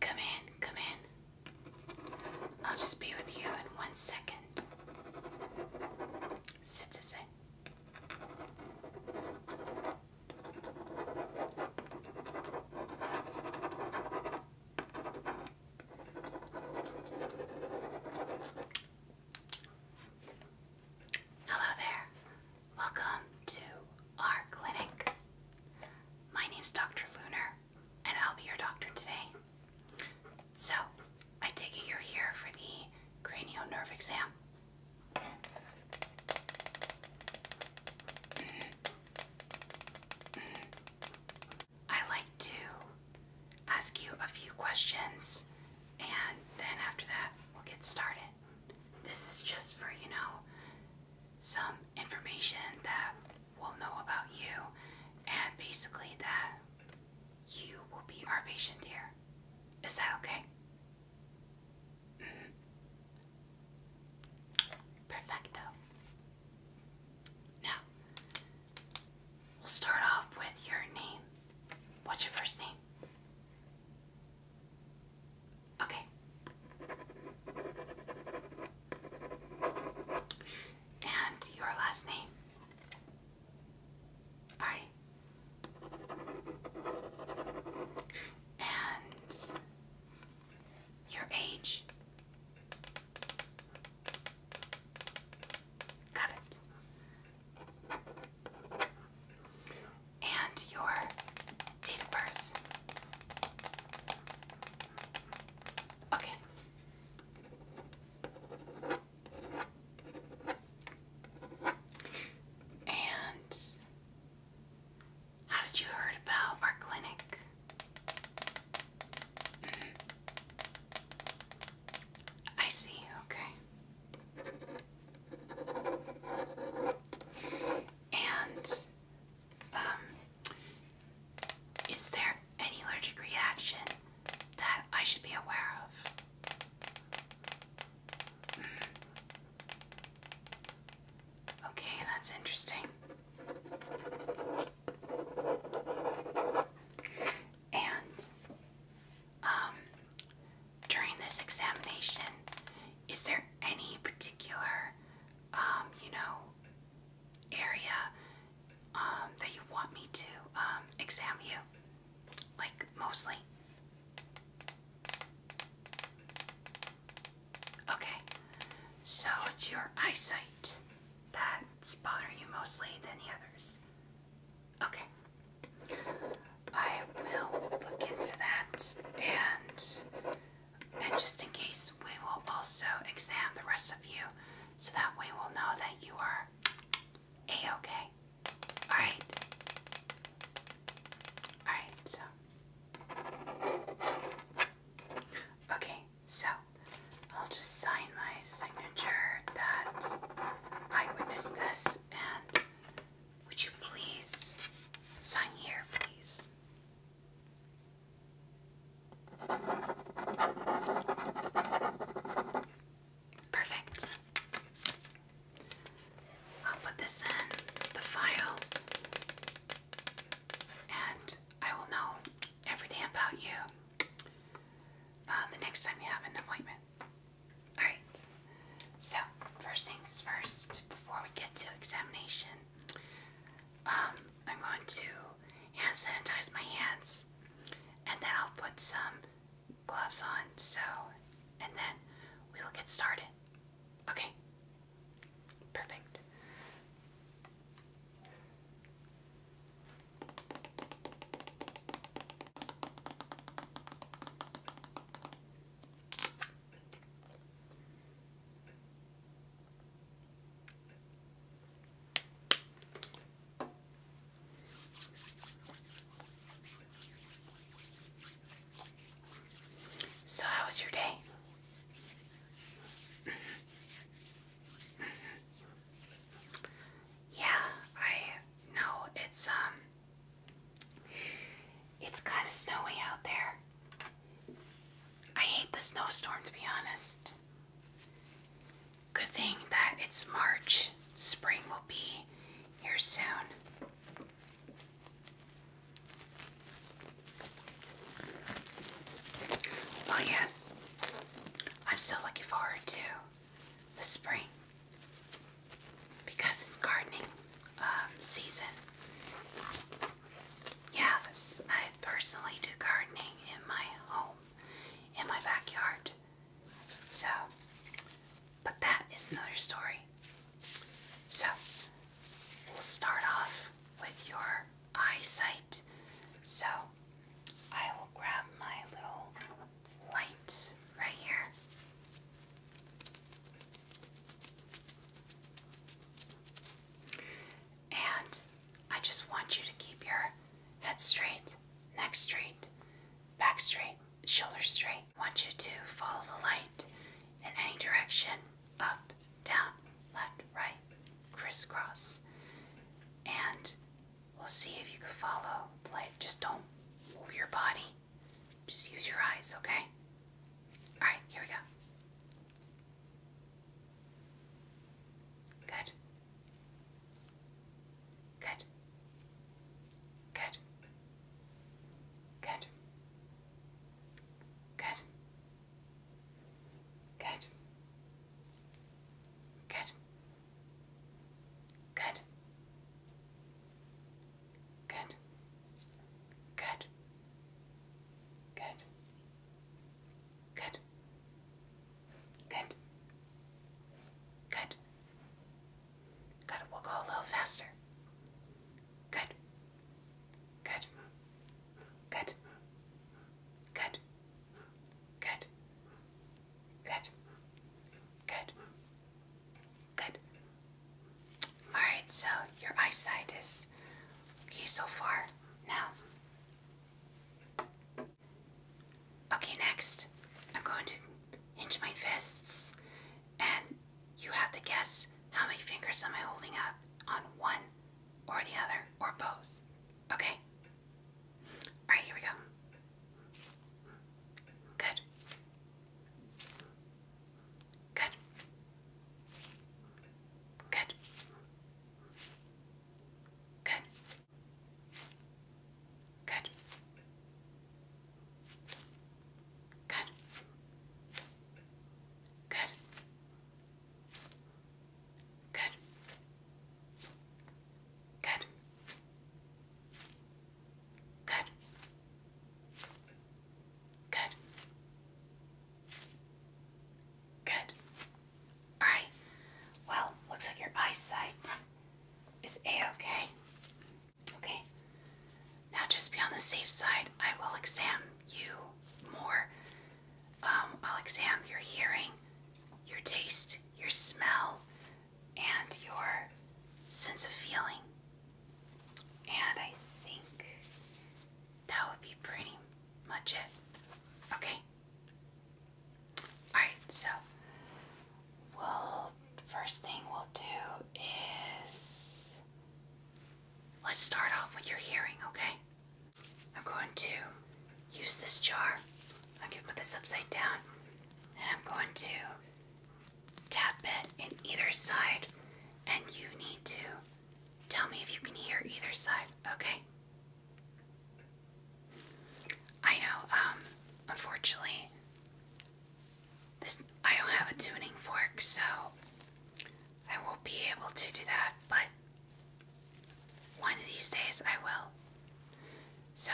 Come in, come in. I'll just be with you in one second. Citizen. Hello there. Welcome to our clinic. My name is Dr. Lunar, and I'll be your doctor today. So, I take it you're here for the cranial nerve exam. I like to ask you a few questions, and then after that, we'll get started. This is just for, you know, some information that we'll know about you and basically that you will be our patient here. Is that okay? Mm-hmm. Perfecto. Now, we'll start off with your name. What's your first name? Okay. And your last name. Bye. And your age. Got it and your date of birth. Okay. And how did you heard about our clinic? Mm-hmm. I see, okay. And um, is there any allergic reaction that I should be aware of? Hmm. Okay, that's interesting. And um, during this examination, is there any particular, um, you know, area um, that you want me to examine you? Like, mostly? Okay, so it's your eyesight that's bothering you mostly than the others. Okay. I will look into that and and just in case we will also examine the rest of you so that we will know that you are a-okay. Alright. Alright, so Okay, so I'll just sign my signature that I witnessed this would you please sign here, please? Perfect. I'll put this in the file and I will know everything about you uh, the next time you have an appointment. Alright, so first things first, before we get to examination, um, I'm going to hand sanitize my hands and then I'll put some gloves on, so, and then we will get started. Okay, perfect. So, how was your day? Yeah, I know it's um it's kind of snowy out there. I hate the snowstorm to be honest. Good thing that it's March. Spring will be here soon. Oh, yes, I'm so looking forward to the spring because it's gardening um, season. Yes, I personally do gardening in my home, in my backyard. So, but that is another story. So, we'll start off with your eyesight. So, I will grab my little light right here. And I just want you to keep your head straight, neck straight, back straight, shoulders straight. I want you to follow the light in any direction up, down, left, right, crisscross. And We'll see if you can follow the Just don't move your body. Just use your eyes, okay? Alright, here we go. Good. Good. Good. Good. Good. Good. Good. Good. Good. Good. Good. Good. Good. Good. We'll go a little faster. Good. Good. Good. Good. Good. Good. Good. Good. Alright, so your eyesight is okay so far now. Okay, next, I'm going to hinge my fists, and you have to guess how many fingers am I holding up on one or the other or both. Okay? Alright, here we go. Good. Good. Good. Good. Good. Good. Good. Good. Good. Good. Good. Good. All right. Well, looks like your eyesight is a-okay. Okay. Now, just be on the safe side. I will examine you more. Um, I'll examine your hearing, your taste, your smell, and your sense of feeling. And I think that would be pretty much it. Okay. Alright, so we first thing we'll do is let's start off with your hearing, okay? I'm going to use this jar. I'm going to put this upside down and I'm going to tap it in either side. And you need to tell me if you can hear either side, okay? I know, um, unfortunately, this I don't have a tuning fork, so I won't be able to do that, but one of these days I will. So,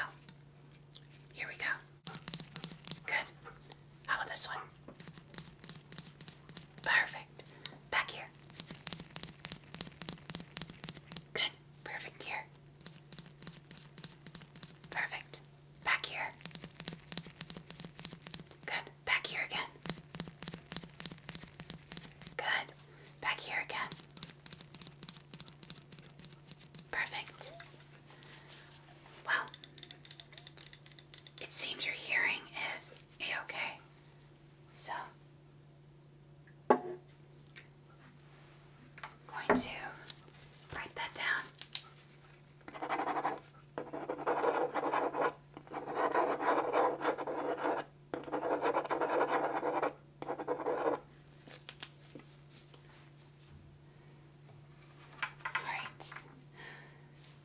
here we go. Good. How about this one? Perfect. Back here. Good. Perfect here. Perfect. Back here. Good. Back here again. Good. Back here again. Perfect. Well, it seems your hearing is a okay. So, going to write that down. Alright.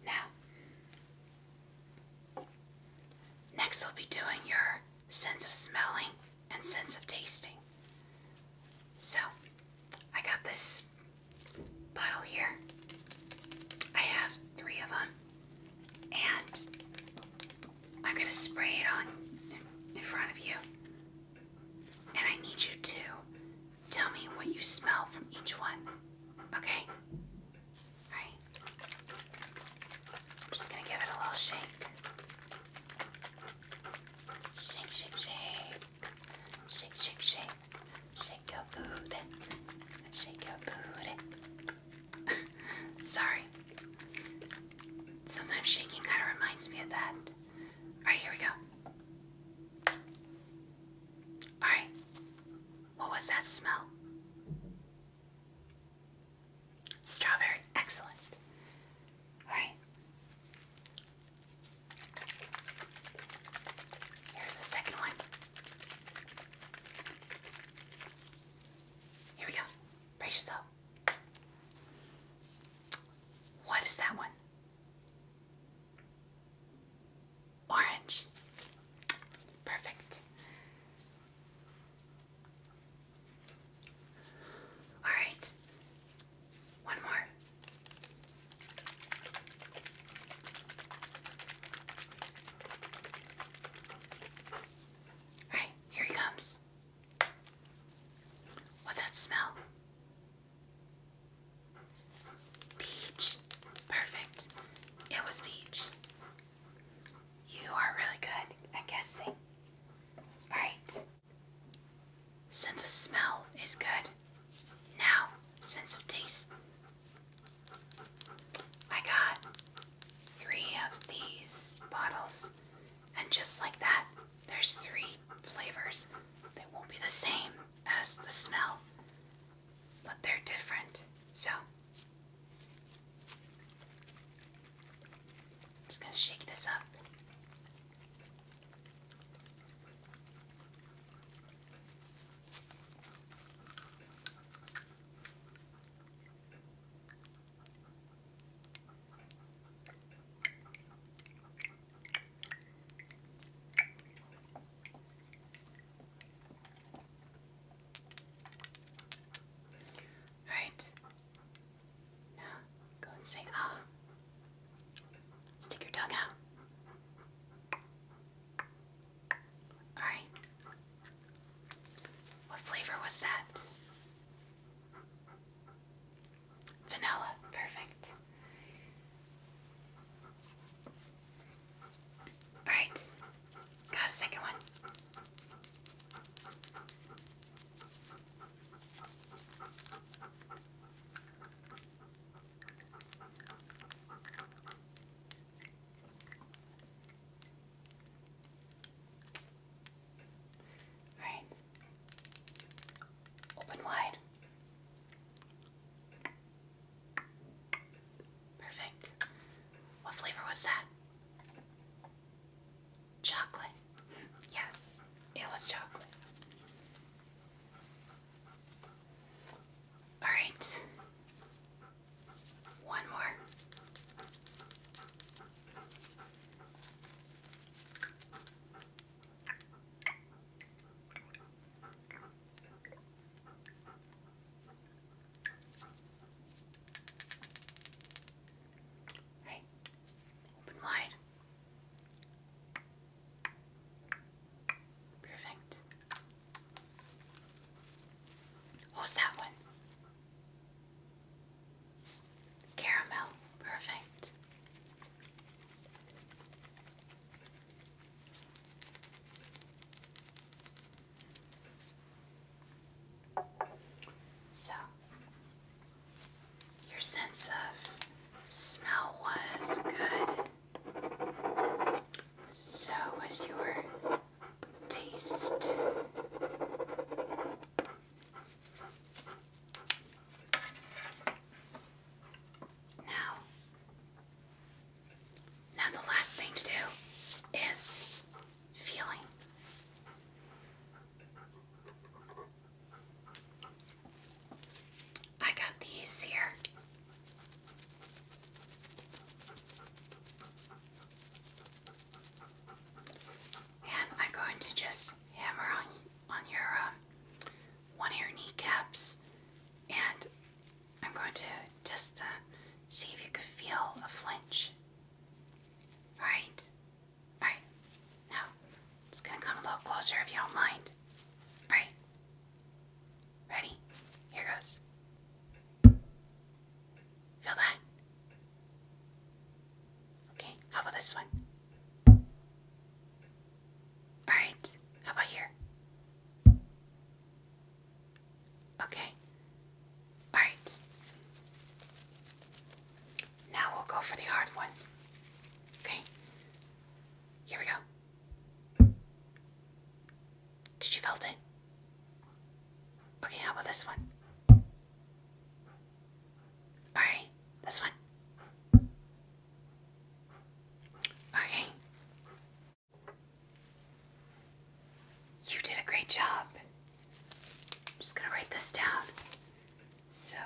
Now, next we'll be doing your sense of smelling and sense of tasting. So, I got this bottle here. I have three of them and I'm going to spray it on in front of you. And I need you to tell me what you smell from each one. Okay? Alright. I'm just going to give it a little Shake, shake, shake. Shake, shake, shake. Shake your booty. Shake your booty. Sorry. Sometimes shaking kind of reminds me of that. Alright, here we go. Alright. What was that smell? Strawberry. Excellent. Alright. Here's the second one. Here we go. Brace yourself. What is that one? Orange. Perfect. All right. One more. Alright, here he comes. What's that smell? Peach. Perfect. It was peach. You are really good at guessing. Alright. Sense of smell is good. Now, sense of taste I got three of these bottles, and just like that, there's three flavors. They won't be the same as the smell, but they're different. So, I'm just gonna shake this up. All right. Now go and say ah. Stick your tongue out. Alright. What flavor was that? Vanilla. Perfect. Alright. Got a second one. Alright. Open wide. Perfect. What flavor was that? Chocolate. Yes, it was chocolate. All right. One more. Hey, open wide. Perfect. What's that one? Caramel. Perfect. So, your sense of smell was good. So, what's your taste? Now, now the last thing to do is feeling. I got these here. And I'm going to just hammer on, on your um, one of your kneecaps, and I'm going to just uh, see if you can feel a flinch. Alright? Alright. Now, i going to come a little closer if you don't mind. Alright. Ready? Here goes. Feel that? Okay, how about this one? Alright, how about here? Okay. Alright. Now we'll go for the hard one. Okay. Here we go. Did you felt it? Okay, how about this one? Alright, this one. Okay. You did a great job. I'm just gonna write this down. So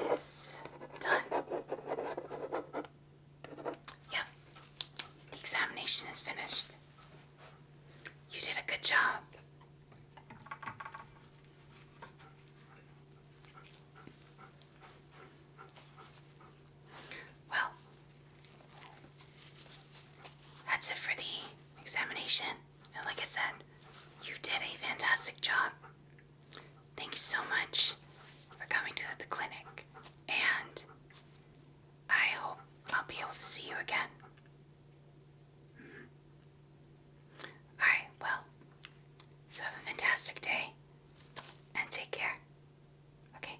it is done. Yep, the examination is finished. You did a good job. Well, that's it for the examination. And like I said, you did a fantastic job. Thank you so much for coming to the clinic. And I hope I'll be able to see you again. Mm-hmm. Alright, well, you have a fantastic day and take care. Okay?